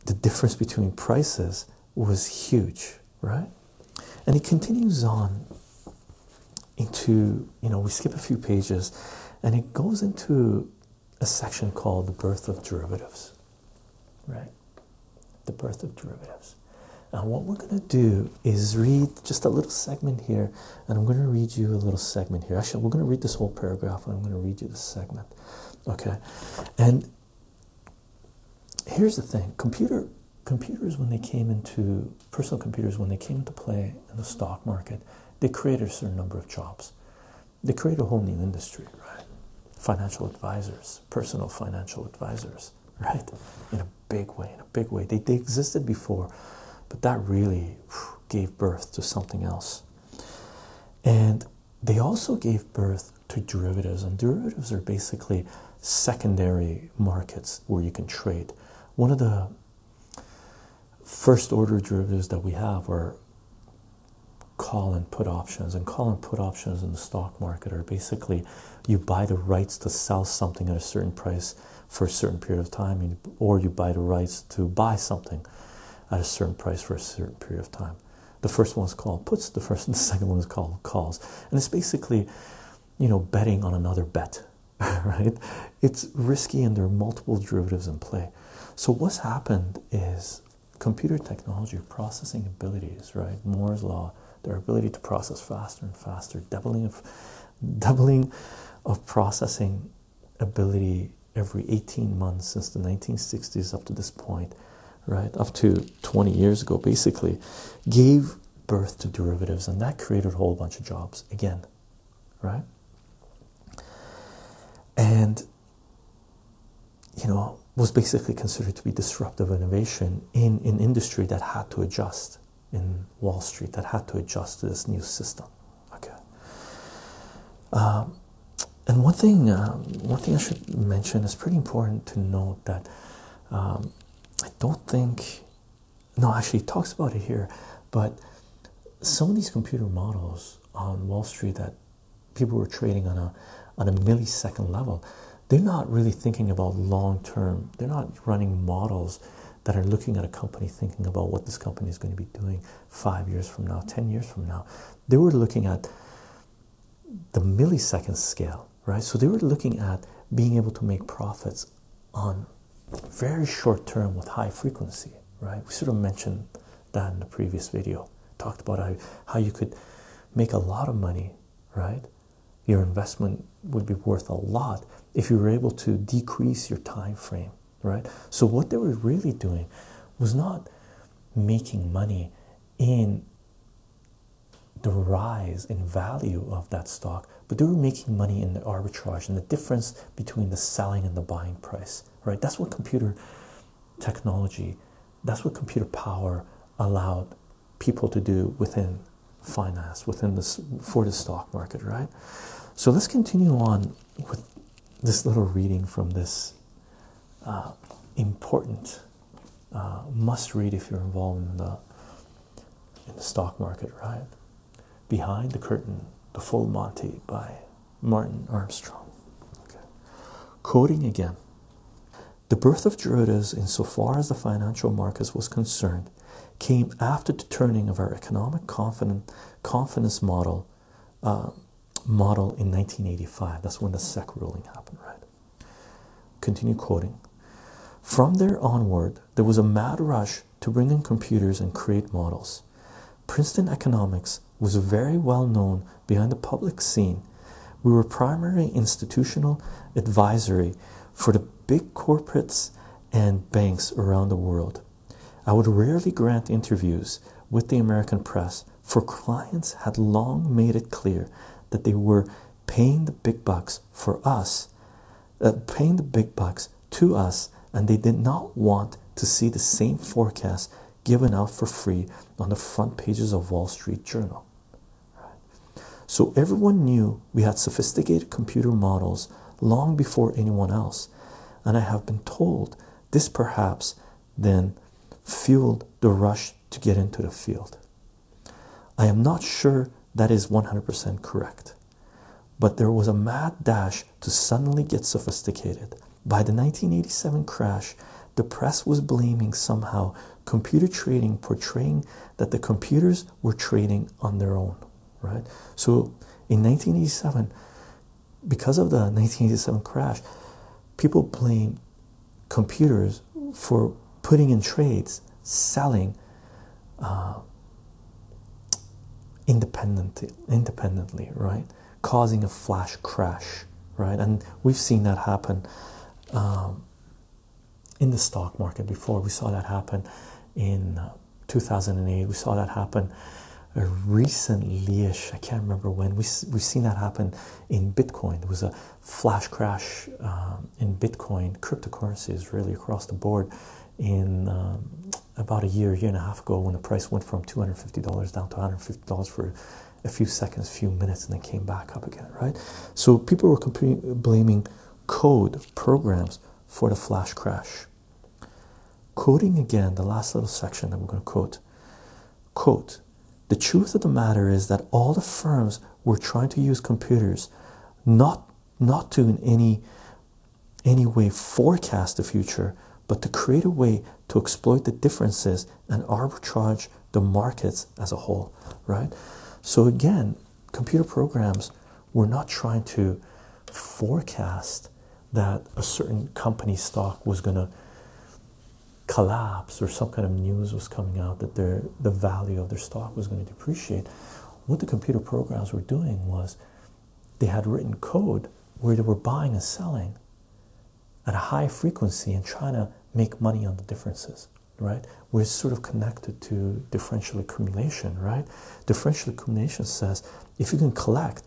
the difference between prices was huge, right? And it continues on into you know we skip a few pages, and it goes into a section called the birth of derivatives, right? the birth of derivatives. Now, what we're going to do is read just a little segment here, and I'm going to read you a little segment here. Actually, we're going to read this whole paragraph, and I'm going to read you this segment. Okay, and here's the thing: computer computers, when they came into personal computers, when they came into play in the stock market, they created a certain number of jobs they create a whole new industry, right? Financial advisors, personal financial advisors, right? In a big way, in a big way. They, existed before, but that really gave birth to something else. And they also gave birth to derivatives, and derivatives are basically secondary markets where you can trade. One of the first order derivatives that we have are call and put options and call and put options in the stock market are basically you buy the rights to sell something at a certain price for a certain period of time or you buy the rights to buy something at a certain price for a certain period of time the first one is called puts the first and (laughs) the second one is called calls and it's basically you know betting on another bet (laughs) right it's risky and there are multiple derivatives in play so what's happened is computer technology, processing abilities, right? Moore's law, their ability to process faster and faster, doubling of (laughs) doubling of processing ability every 18 months since the 1960s up to this point, right? Up to 20 years ago, basically, gave birth to derivatives, and that created a whole bunch of jobs again, right? And you know, was basically considered to be disruptive innovation in an industry that had to adjust in Wall Street, that had to adjust to this new system. Okay. Um, and one thing, um, one thing I should mention is pretty important to note that um, I don't think, no, actually, he talks about it here, but some of these computer models on Wall Street that people who are trading on a on a millisecond level, they're not really thinking about long term. They're not running models that are looking at a company thinking about what this company is going to be doing five years from now, ten years from now. They were looking at the millisecond scale, right? So they were looking at being able to make profits on very short term with high frequency, right? We sort of mentioned than the previous video. Talked about how you could make a lot of money, right? Your investment would be worth a lot if you were able to decrease your time frame, right? So, what they were really doing was not making money in the rise in value of that stock, but they were making money in the arbitrage and the difference between the selling and the buying price, right? That's what computer technology that's what computer power allowed people to do within finance, within this for the stock market, right? So let's continue on with this little reading from this uh, important uh, must read if you're involved in the in the stock market, right? Behind the curtain, the full Monty by Martin Armstrong. Okay. again. The birth of derivatives, insofar as the financial markets was concerned, came after the turning of our economic confidence model uh, in 1985. That's when the SEC ruling happened, right? Continue quoting. From there onward, there was a mad rush to bring in computers and create models. Princeton economics was very well known behind the public scene. We were primary institutional advisory for the big corporates and banks around the world. I would rarely grant interviews with the American press, for clients had long made it clear that they were paying the big bucks for us, uh, paying the big bucks to us, and they did not want to see the same forecast given out for free on the front pages of Wall Street Journal. So everyone knew we had sophisticated computer models long before anyone else, and I have been told this perhaps then fueled the rush to get into the field. I am not sure that is 100% correct, but there was a mad dash to suddenly get sophisticated by the 1987 crash, the press was blaming somehow computer trading, portraying that the computers were trading on their own, right? So in 1987, because of the 1987 crash, people blamed computers for putting in trades, selling uh, independently, independently, right? causing a flash crash, right? And we've seen that happen um, in the stock market before. We saw that happen in uh, 2008. We saw that happen uh, recently-ish. I can't remember when. We we've seen that happen in Bitcoin. It was a flash crash um, in Bitcoin, cryptocurrencies really across the board in. Um, about a year, year and a half ago, when the price went from $250 down to $150 for a few seconds, a few minutes, and then came back up again, right? So people were blaming code programs for the flash crash. Quoting again the last little section that we're going to quote. Quote, the truth of the matter is that all the firms were trying to use computers not not to in any any way forecast the future, but to create a way to exploit the differences and arbitrage the markets as a whole, right? So, again, computer programs, were not trying to forecast that a certain company stock was going to collapse or some kind of news was coming out that their the value of their stock was going to depreciate what the computer programs were doing was they had written code where they were buying and selling at a high frequency and trying to make money on the differences, right? We're sort of connected to differential accumulation, right? Differential accumulation says if you can collect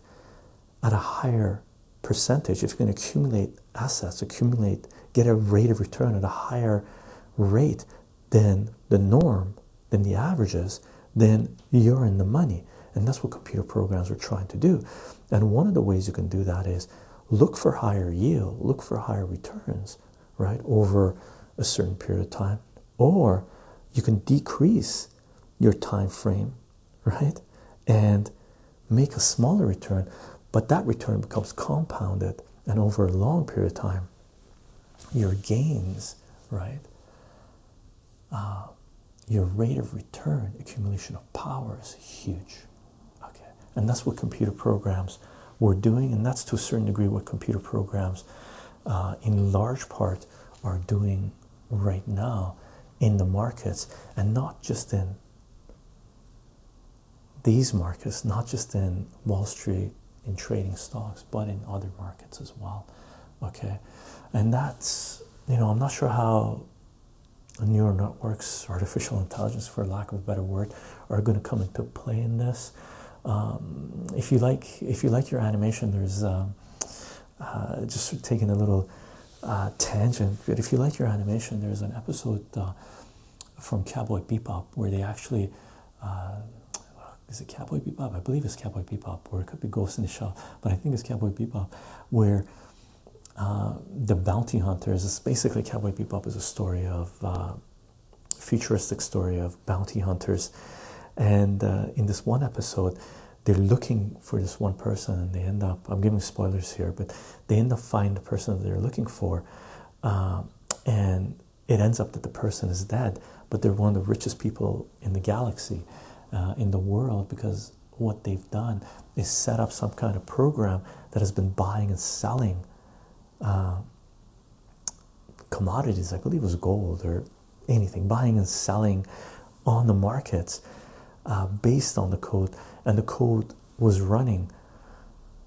at a higher percentage, if you can accumulate assets, accumulate, get a rate of return at a higher rate than the norm, than the averages, then you're in the money. And that's what computer programs are trying to do. And one of the ways you can do that is look for higher yield, look for higher returns, right, over a certain period of time, or you can decrease your time frame, right, and make a smaller return, but that return becomes compounded, and over a long period of time, your gains, right, uh, your rate of return, accumulation of power is huge. Okay, and that's what computer programs were doing, and that's to a certain degree what computer programs, uh, in large part, are doing right now in the markets, and not just in these markets, not just in Wall Street in trading stocks, but in other markets as well. Okay, and that's you know, I'm not sure how neural networks, artificial intelligence, for lack of a better word, are going to come into play in this. Um, if you like, if you like your animation, there's uh, uh, just taking a little uh, tangent. But if you like your animation, there's an episode from Cowboy Bebop where they actually. Uh, is it Cowboy Bebop? I believe it's Cowboy Bebop, or it could be Ghost in the Shell, but I think it's Cowboy Bebop, where uh, the bounty hunters is basically cowboy bebop is a story of uh, futuristic story of bounty hunters and uh, in this one episode they're looking for this one person and they end up i'm giving spoilers here but they end up finding the person that they're looking for and it ends up that the person is dead but they're one of the richest people in the galaxy in the world because what they've done is set up some kind of program that has been buying and selling uh, commodities. I believe was gold or anything, buying and selling on the markets uh, based on the code, and the code was running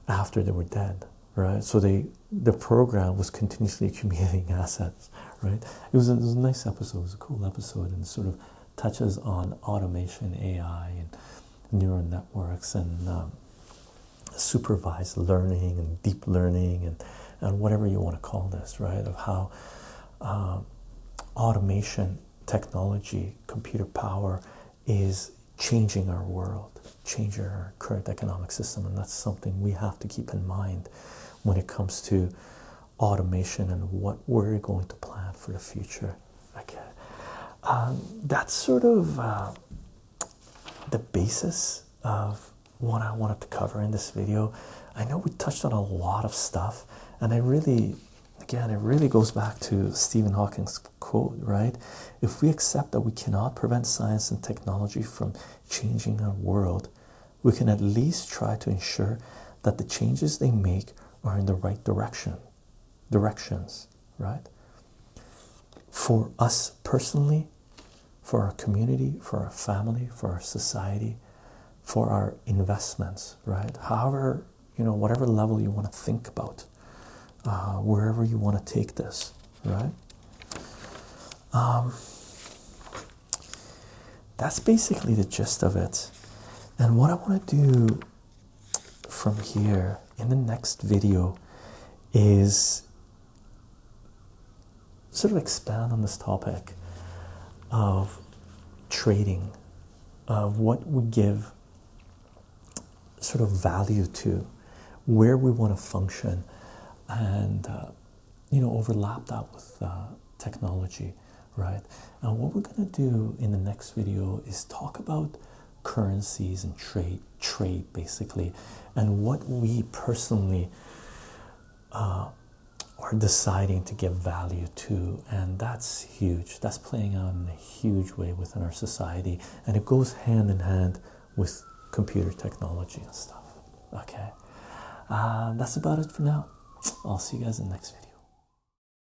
after they were dead, right? So they the program was continuously (laughs) accumulating assets, right? it was a nice episode. It was a cool episode, and sort of touches on automation, AI, and neural networks, and um, supervised learning and deep learning, and and whatever you want to call this, right? Of how um, automation, technology, computer power is changing our world, changing our current economic system, and that's something we have to keep in mind when it comes to automation and what we're going to plan for the future okay um, that's sort of uh, the basis of what i wanted to cover in this video i know we touched on a lot of stuff and i really again it really goes back to stephen hawking's quote right if we accept that we cannot prevent science and technology from changing our world we can at least try to ensure that the changes they make are in the right direction directions, right? For us personally, for our community, for our family, for our society, for our investments, right? However, you know, whatever level you want to think about, uh, wherever you want to take this, right? Um, that's basically the gist of it. And what I want to do from here in the next video is sort of expand on this topic of trading of what we give sort of value to where we want to function and uh, you know overlap that with uh, technology right? Now, what we're gonna do in the next video is talk about currencies and trade, trade basically, and what we personally uh, are deciding to give value to, and that's huge. That's playing out in a huge way within our society, and it goes hand in hand with computer technology and stuff. Okay, uh, that's about it for now. I'll see you guys in the next video.